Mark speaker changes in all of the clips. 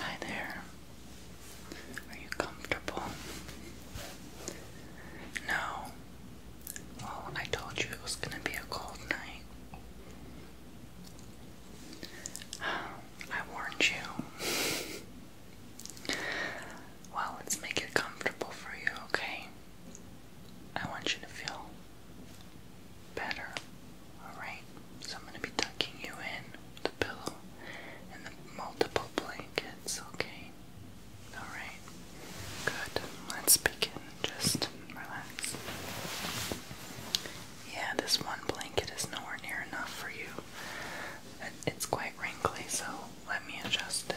Speaker 1: Hi there. Are you comfortable? No. Well, I told you it was going to be a cold night. Um, I warned you. well, let's make it comfortable for you, okay? I want you to feel better, alright? So I'm gonna be tucking you in the pillow and the multiple blankets, okay? Alright. Good. Let's begin. Just relax. Yeah, this one blanket is nowhere near enough for you. It's quite wrinkly, so let me adjust it.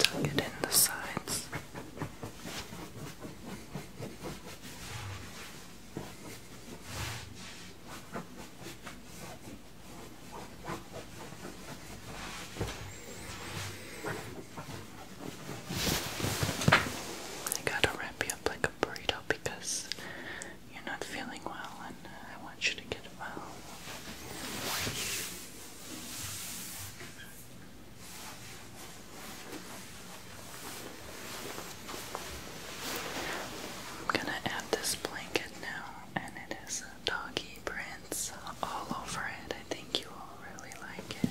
Speaker 1: Tuck it in the sides. I gotta wrap you up like a burrito because you're not feeling well, and I want you to get well. I'm gonna add this blanket now, and it has doggy prints all over it. I think you all really like it.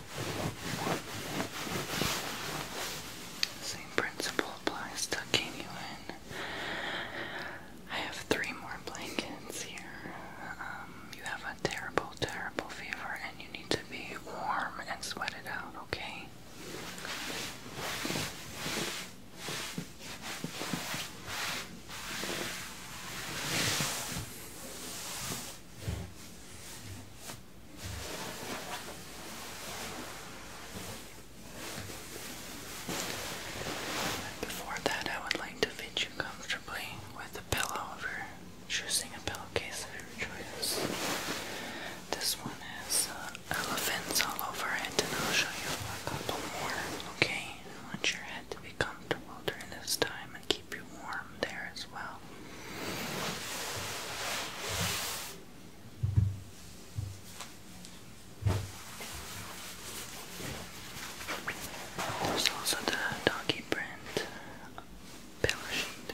Speaker 1: Same principle applies tucking you in. I have three more blankets here. Um, you have a terrible, terrible fever, and you need to be warm and sweat it out, Okay. Before that, I would like to fit you comfortably with a pillow if you choosing a pillowcase of your choice. This one has uh, elephants all over it, and I'll show you a couple more, okay? I want your head to be comfortable during this time keep you warm there as well. There's also the doggy print pillow sheet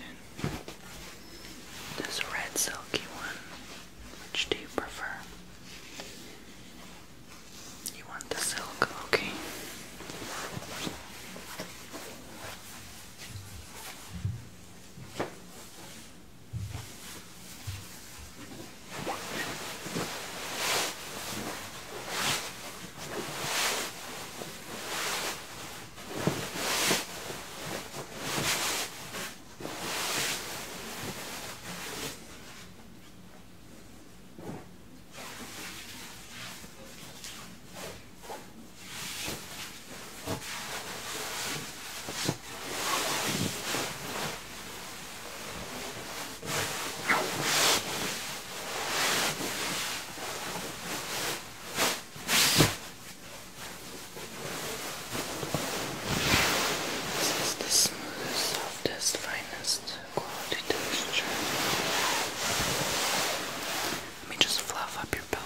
Speaker 1: this red silky one. Which do you prefer? You want the silk, okay. This is the smoothest, softest, finest quality texture. Let me just fluff up your pillow.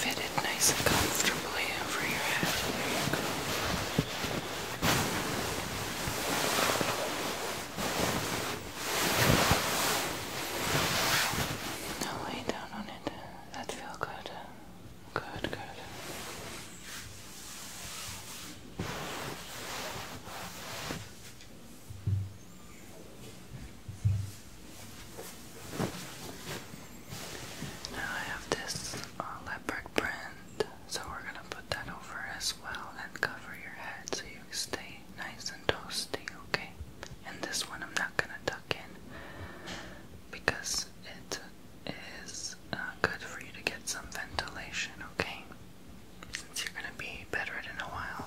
Speaker 1: Fitted nice and comfortably over your head. There you go. Now lay down on it that feel good. Good, good. Now I have this uh, leopard print, so we're gonna put that over as well and cover your head so you stay nice and toasty, okay? And this one I'm not gonna touch napkin because it is uh, good for you to get some ventilation, okay? Since you're gonna be bedridden a while.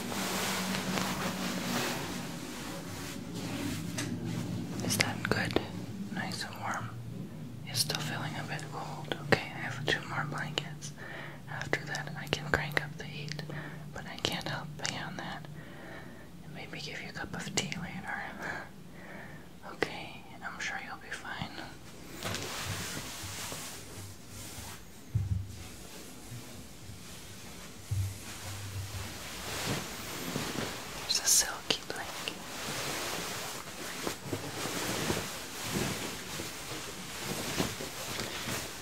Speaker 1: Is that good? Nice and warm. You're still feeling a bit cold. Okay, I have two more blankets. After that, I can crank up the heat, but I can't help beyond that. maybe give you a cup of tea later. okay, I'm sure you'll be fine. There's a silky blanket.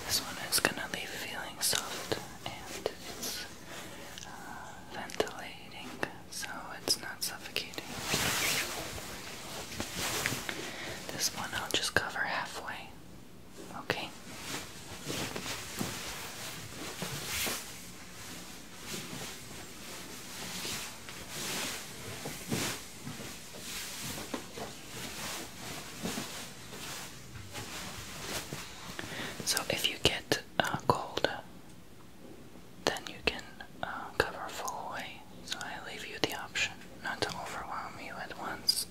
Speaker 1: This one is gonna leave feeling soft and it's uh, ventilating, so it's not suffocating. This one I'll just cover halfway. Okay. So if you get uh, cold, then you can uh, cover full way so I leave you the option not to overwhelm you at once.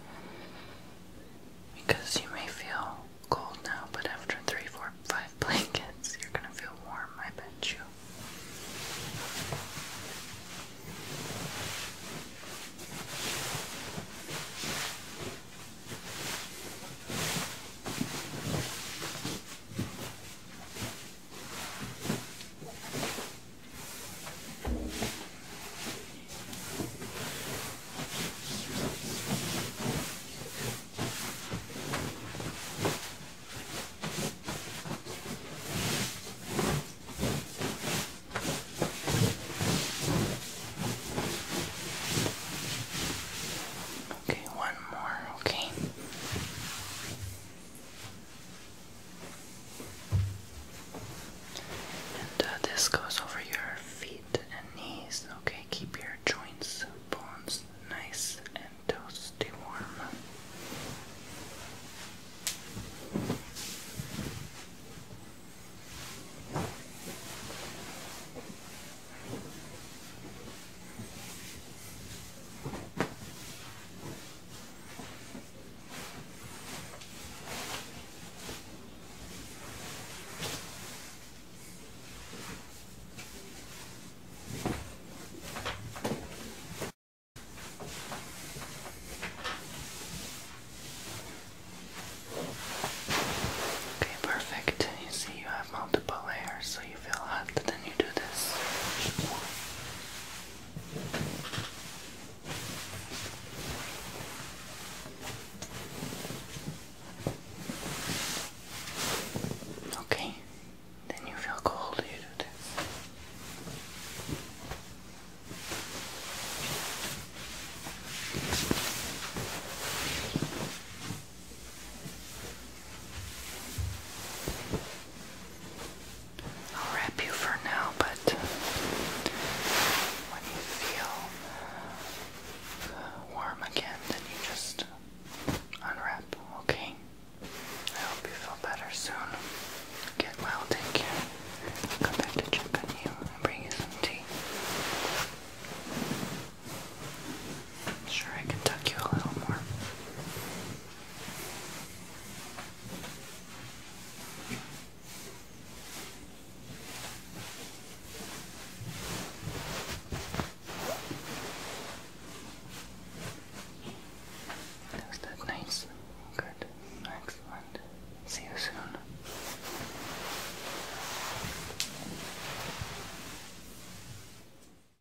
Speaker 1: Because you may feel cold now, but after three, four, five blankets, you're gonna feel warm, I bet you. Okay, one more, okay. And uh, this goes over your feet and knees. Okay, keep your joints, bones nice and toes stay warm. Okay, perfect. You see, you have multiple layers, so you feel hot, then you do this. Okay, then you feel cold, do this. I'll wrap you for now, but when you feel warm again, then you just unwrap, okay? I hope you feel better soon. Get well, take care. I'll come back to check on you and bring you some tea. Sure, I can tuck you a little more. Is that nice? Good. Excellent. See you soon.